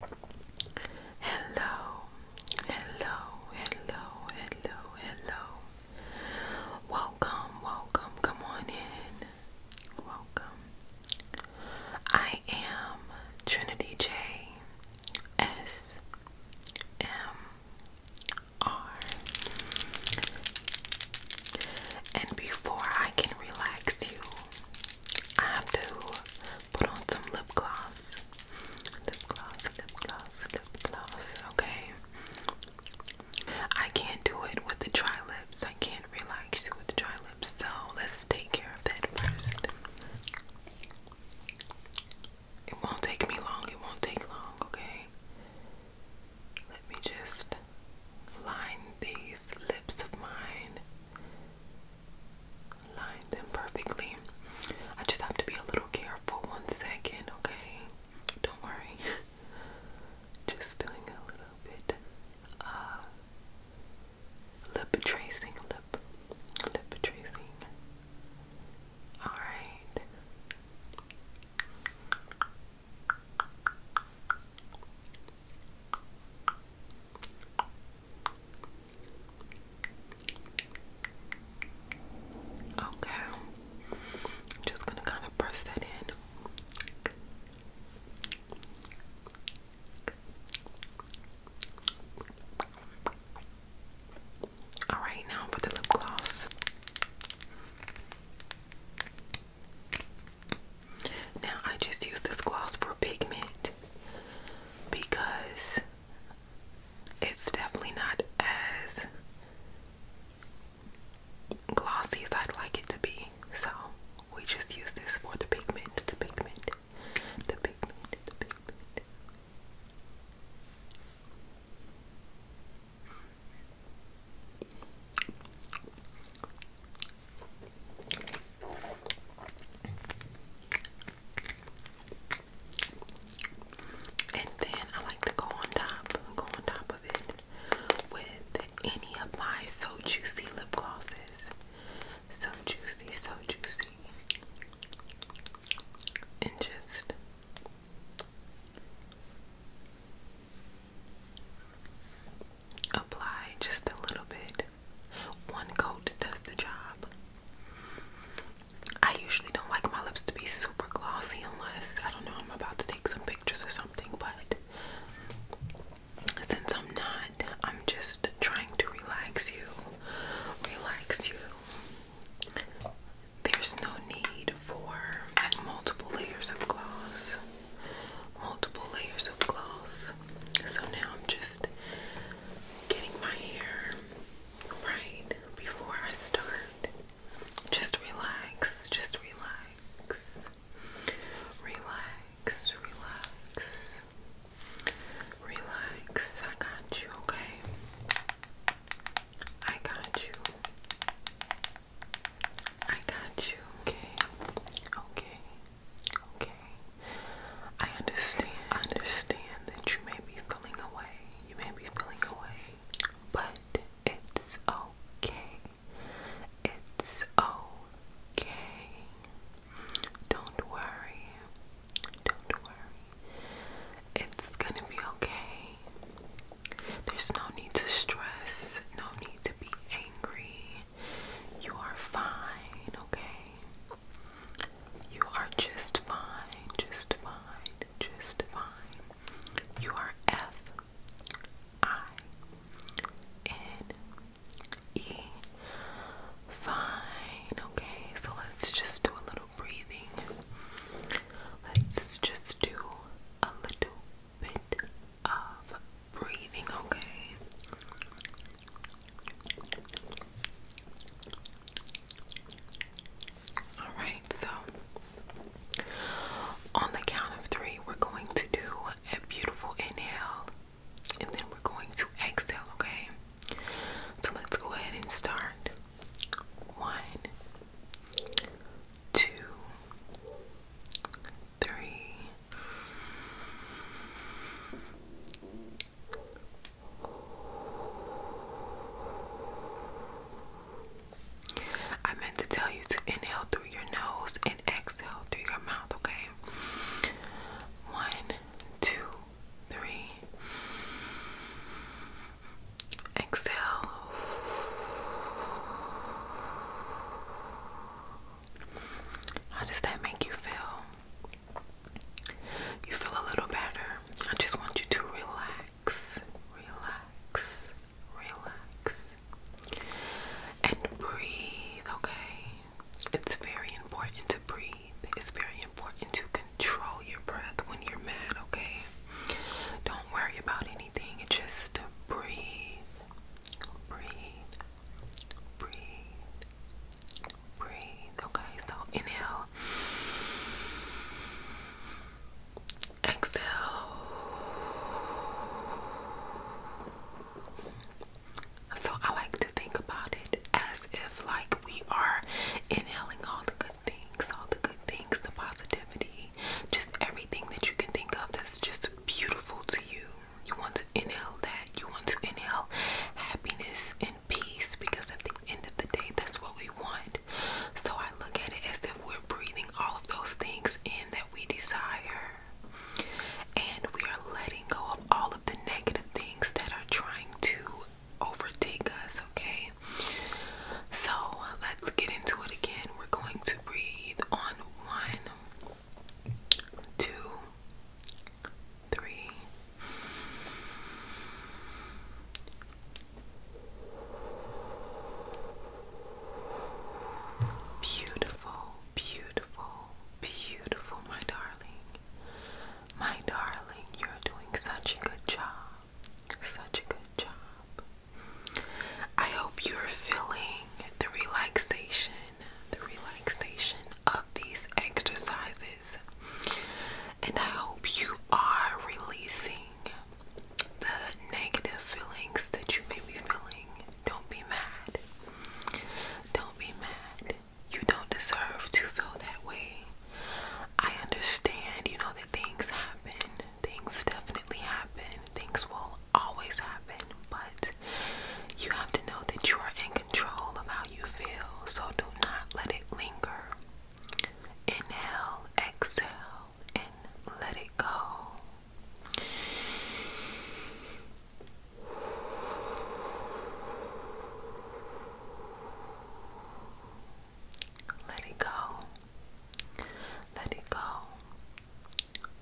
Hello, hello, hello, hello, hello. Welcome, welcome, come on in. Welcome. I am Trinity J S M R. And before I can relax you, I have to put on some lip gloss. Lip gloss, lip gloss, lip gloss. Okay. I can't do it with the dry lips. I can't relax you with the dry lips. So let's take care of that first. It won't take me long. It won't take long. Okay. Let me just line these lips of mine line them perfectly. I just have to be a little careful one second, okay? Don't worry. just doing a little bit lip tracing, lip lip tracing. Alright. Okay, just gonna kind of press that in. All right, now for the lip gloss. Now I just use this gloss for pigment because it's definitely not as glossy as I'd like it to be. So we just use this for the pigment, the pigment, the pigment, the pigment. And then I like to go on top, go on top of it with any of my So Juicy lip glosses. So juicy, so juicy. And just apply just a little bit. One coat does the job. I usually don't like my lips to be super glossy unless I don't know I'm about to take some pictures or something, but since I'm not, I'm just trying to relax you. Relax you. There's no need for multiple layers of gloss multiple layers of gloss. So now I'm just getting my hair right before I start. Just relax, just relax, relax, relax, relax. I got you, okay? I got you. I got you, okay? Okay. Okay. I understand. I understand that you may be feeling away. You may be feeling away. But it's okay. It's okay. Don't worry. Don't worry. It's gonna be okay. There's no need to stress, no need to be angry, you are fine, okay? You are just fine, just fine, just fine. You are F I N E. Fine, okay? So let's just do a little breathing. Let's just do a little bit of breathing, okay? All right, so on the count of three, we're going to do a beautiful inhale and then we're going to exhale, okay? So let's go ahead and start. One, two, three, I meant to tell you to inhale through your nose and exhale through your mouth, okay? One, two, three. Exhale. How does that make you feel? You feel a little better. I just want you to relax, relax, relax, and breathe, okay? It's very important to breathe. It's very important to control your breath when you're mad, okay? Don't worry about anything. Just breathe, breathe, breathe, breathe. Okay, so inhale, exhale. So I like to think about it as if like we are inhaling all the good things, all the good things, the positivity, just everything that you can think of that's just beautiful to you. You want to inhale that. You want to inhale happiness and peace because at the end of the day, that's what we want. So I look at it as if we're breathing all of those things in that we desire. And we are letting go of all of the negative things that are trying to overtake us, okay? So let's get into it again. We're going to breathe on one two, three. Beautiful, beautiful, beautiful, my darling. My darling, you're doing such a good job. Such a good job. I hope you're feeling the relaxation, the relaxation of these exercises, and I hope you are releasing the negative feelings that you may be feeling. Don't be mad. Don't be mad. You don't deserve to feel that way. I understand, you know, that things happen. Things definitely happen. Things will always happen, but you have to know that you are in control of how you feel, so do not let it linger. Inhale, exhale, and let it go. Let it go. Let it go.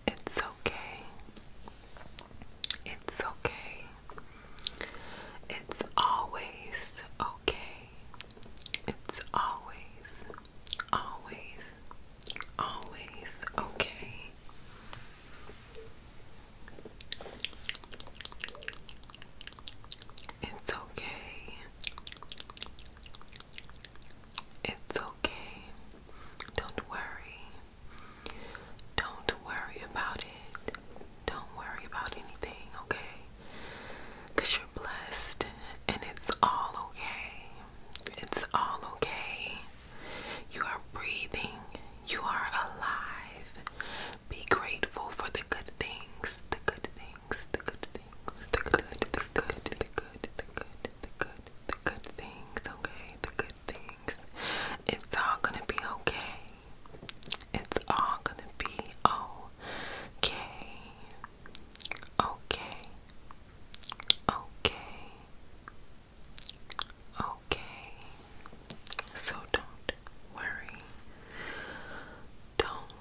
It's okay. It's okay. It's always okay. It's always, always, always okay. It's okay. It's okay. Don't worry. Don't worry about it. Don't worry about anything, okay? Because you're blessed and it's all okay. It's all okay. You are breathing, you are alive. Be grateful for the good things, the good things, the good things, the good, the good, the good, the good, the good, the good things, okay? The good things. It's all gonna be okay. It's all gonna be okay. Okay. Okay. Okay. So don't worry. Don't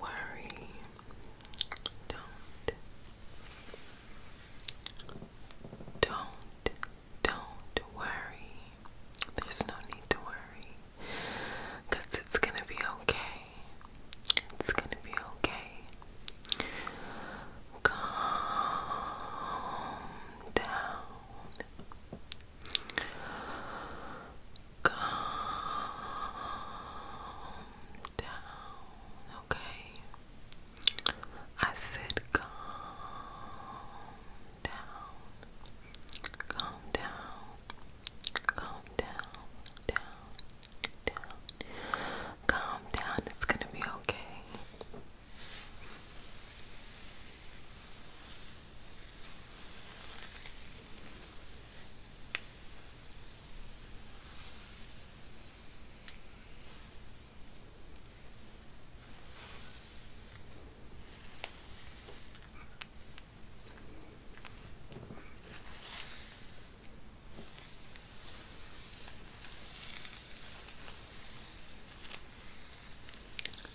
worry. Don't. Don't. Don't worry. There's no need to worry. it's going to be okay. It's going to be okay. Calm down. Calm down okay? I said, calm down, calm down, calm down, down, down, calm down, it's gonna be okay.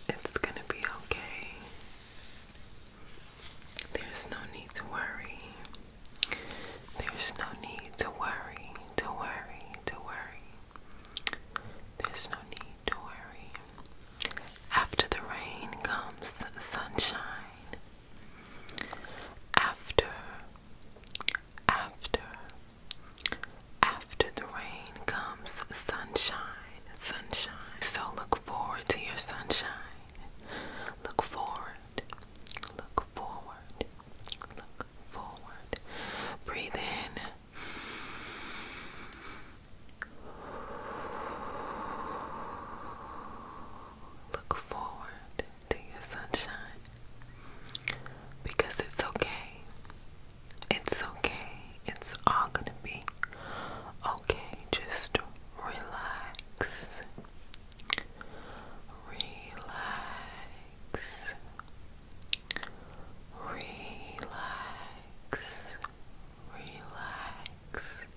It's going to be okay. There's no need to worry. There's no need to worry, to worry, to worry. There's no need to worry. After the rain comes sunshine. After, after, after the rain comes sunshine, sunshine. So look forward to your sunshine. Look forward, Look forward. Look forward. Breathe in. Look forward to your sunshine because it's okay. It's okay. It's all gonna be okay. Just relax. Relax. Relax. Relax.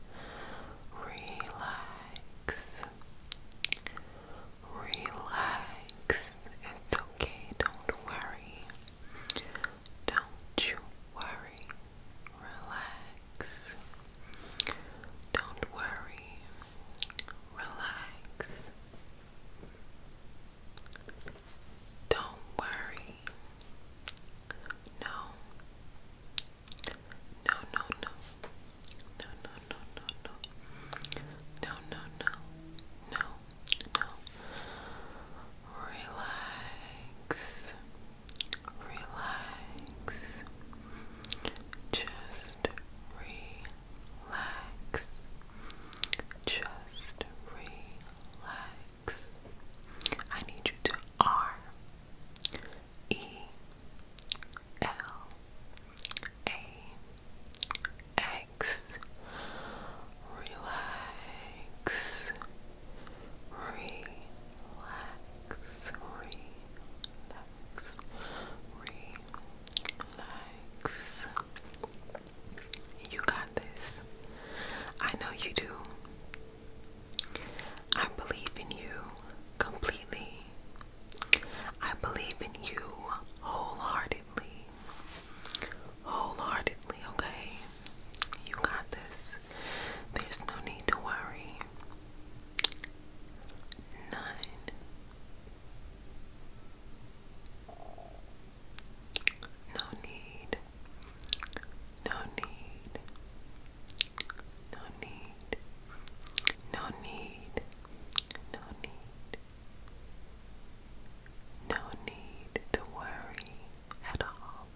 Relax. Relax. It's okay. Don't worry. Don't you worry. Relax. Don't worry, relax. Don't worry. No. No, no, no. No, no, no, no, no. No, no, Relax relax, just relax, just relax. I need you to R E L A X relax relax, relax, relax. You got this. I know you do. I believe in you completely. I believe in you wholeheartedly. Wholeheartedly, okay? You got this. There's no need to worry nine, no need, no need, no need, no need, no need, no need to worry at all.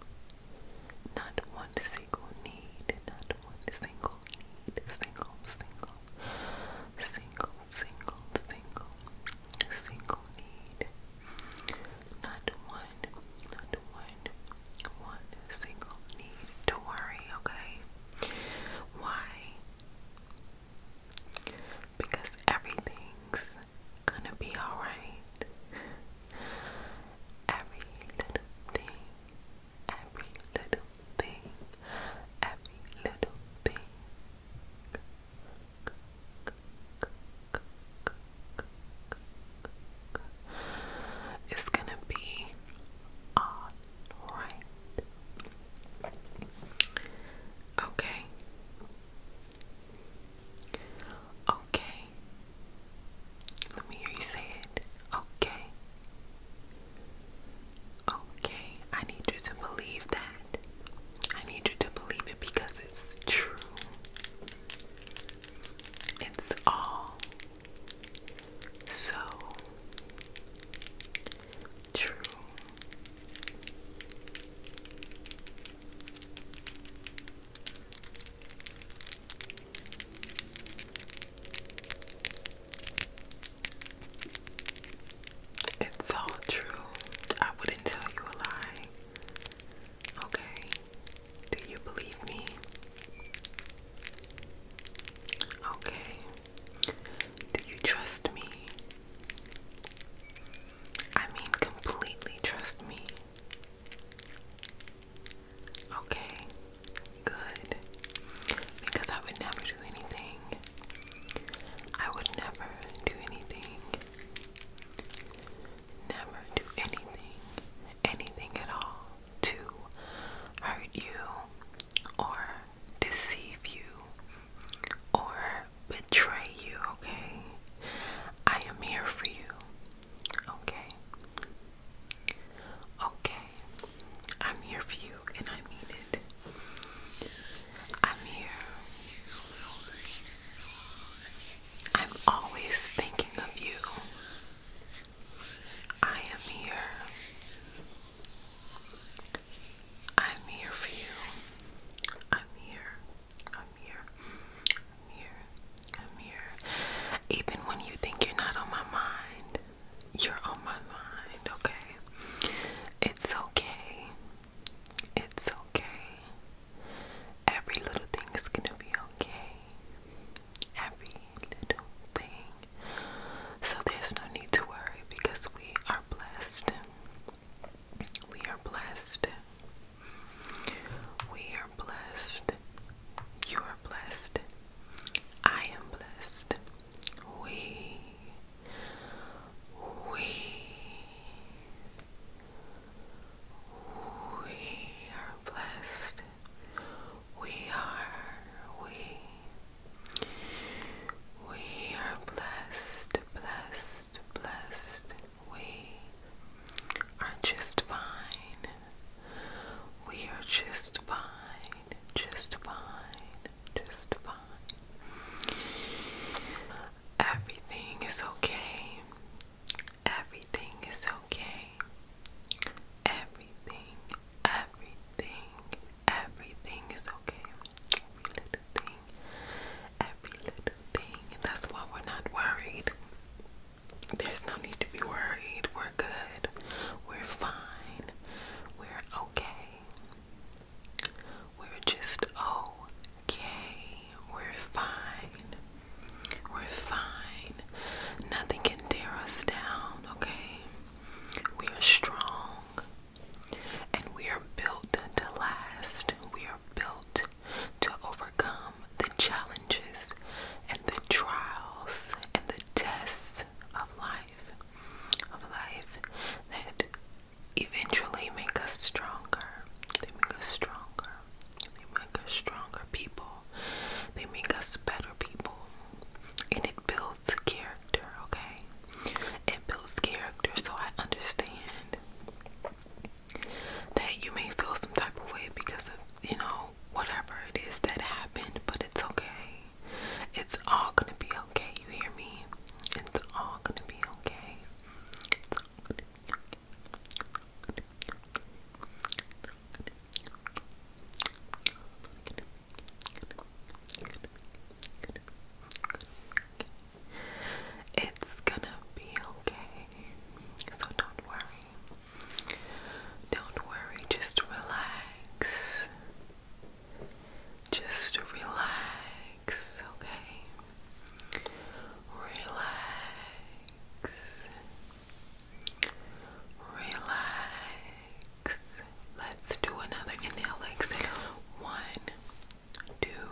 Not one single need, not one single need, single, single, single, single, single, single need. Not one, not one, one single need to worry, okay? Why? Because everything's gonna be alright every little thing, every little thing, every little thing. It's gonna be all right. Okay. Okay. Let me hear you say it. Okay. Okay. I need you to believe that. I need you to believe it because it's true. It's all so true. It's all true. I wouldn't tell you a lie. Okay. Do you believe me? Okay. Do you trust me? I mean, completely trust me. Okay, good. Because I would never do anything. I would never do anything. Never do anything, anything at all to hurt you or deceive you or betray you, okay? I am here for you. Okay. Okay. I'm here for you and I mean it. I'm here. I'm always thinking of you. I am here. I'm here for you. I'm here. I'm mirror, a mirror, a mirror. Even when you think you're not on my mind, you're on my mind, okay? It's okay. It's okay. Every little thing is gonna be okay. Every little thing. So there's no need to worry because we are blessed. We are blessed. We are blessed. You are blessed. I am blessed. We, we, we are blessed. We are, we, we are blessed, blessed, blessed. We are just fine. We are just fine. Just fine. Just fine. Everything is okay. Everything is okay. Everything, everything, everything is okay. Every little thing, every little thing. That's why we're not worried. There's no need to be worried. We're good. We're fine. We're okay. We're just okay. We're fine. We're fine. Nothing can tear us down, okay? We are strong and we are built to last. We are built to overcome the challenges and the trials and the tests of life, of life that eventually make us stronger. They make us stronger. They make us stronger people. They make us better people. And it builds character, okay? It builds character, so I understand that you may feel some type of way because of, you know, whatever it is that happened, but it's okay. It's all gonna be okay, you hear me? It's all gonna be okay. It's gonna be okay. So don't worry. Don't worry, just relax. Just relax, okay? Relax. Relax. Let's do another inhale, exhale. One, two,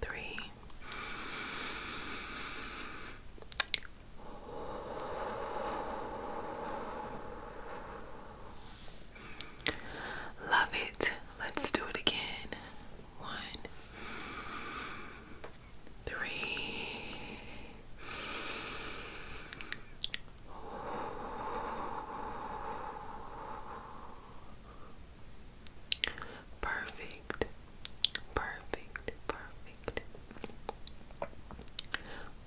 three. Love it. Let's do it again. One, three. Perfect. Perfect. Perfect.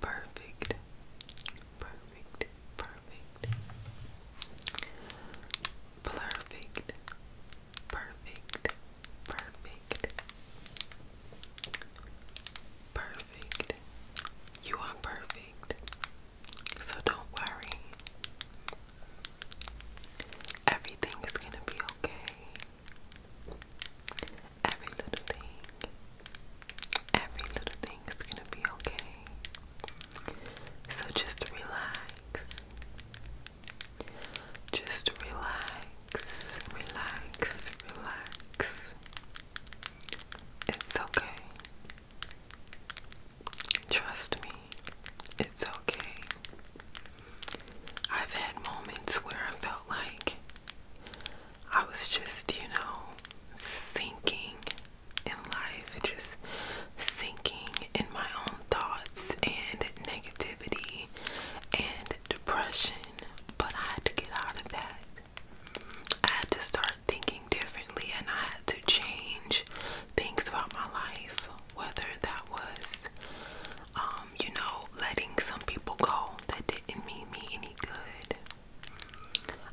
Perfect. Perfect. Perfect. Perfect. Perfect. Perfect. Perfect. You are perfect. So don't worry. Everything is gonna be okay. Every little thing. Every little thing is gonna be okay. So just relax. Just relax, relax, relax. It's okay. Trust me. It's okay. I've had moments where I felt like I was just, you know, sinking in life, just sinking in my own thoughts and negativity and depression. But I had to get out of that. I had to start thinking differently and I had to change things about my life whether that was, um, you know, letting some people go that didn't mean me any good.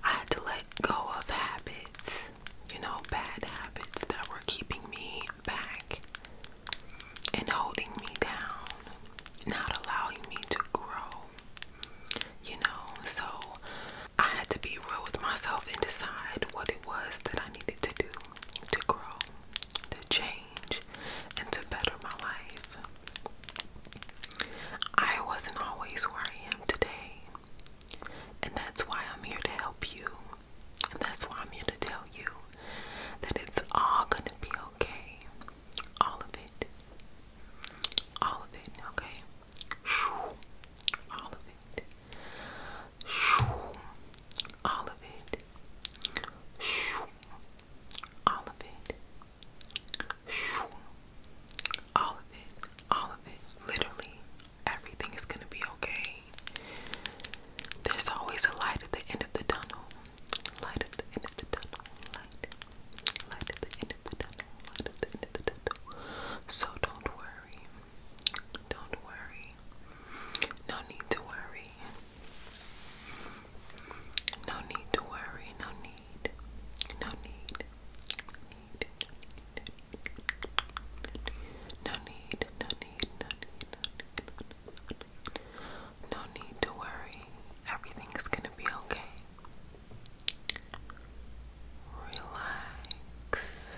I had to let go of habits, you know, bad habits that were keeping me back and holding me down, not allowing me to grow, you know. So I had to be real with myself and decide what it was that I needed to do to grow, to change, and to better my life. I wasn't always where I am today, and that's why I'm here to help you. And that's why I'm here to tell you that it's all gonna be okay. All of it. All of it, okay? All of it. All of it. All of it. All of it. All of it. Literally, everything is going to be okay. There's always a light at the end of the tunnel. Light at the end of the tunnel. Light at the end of the tunnel. Light at the end of the tunnel. So don't worry. Don't worry. No need to worry. No need to worry. No Need. No need. No need. No need. No need to worry. Everything is gonna be okay. Relax.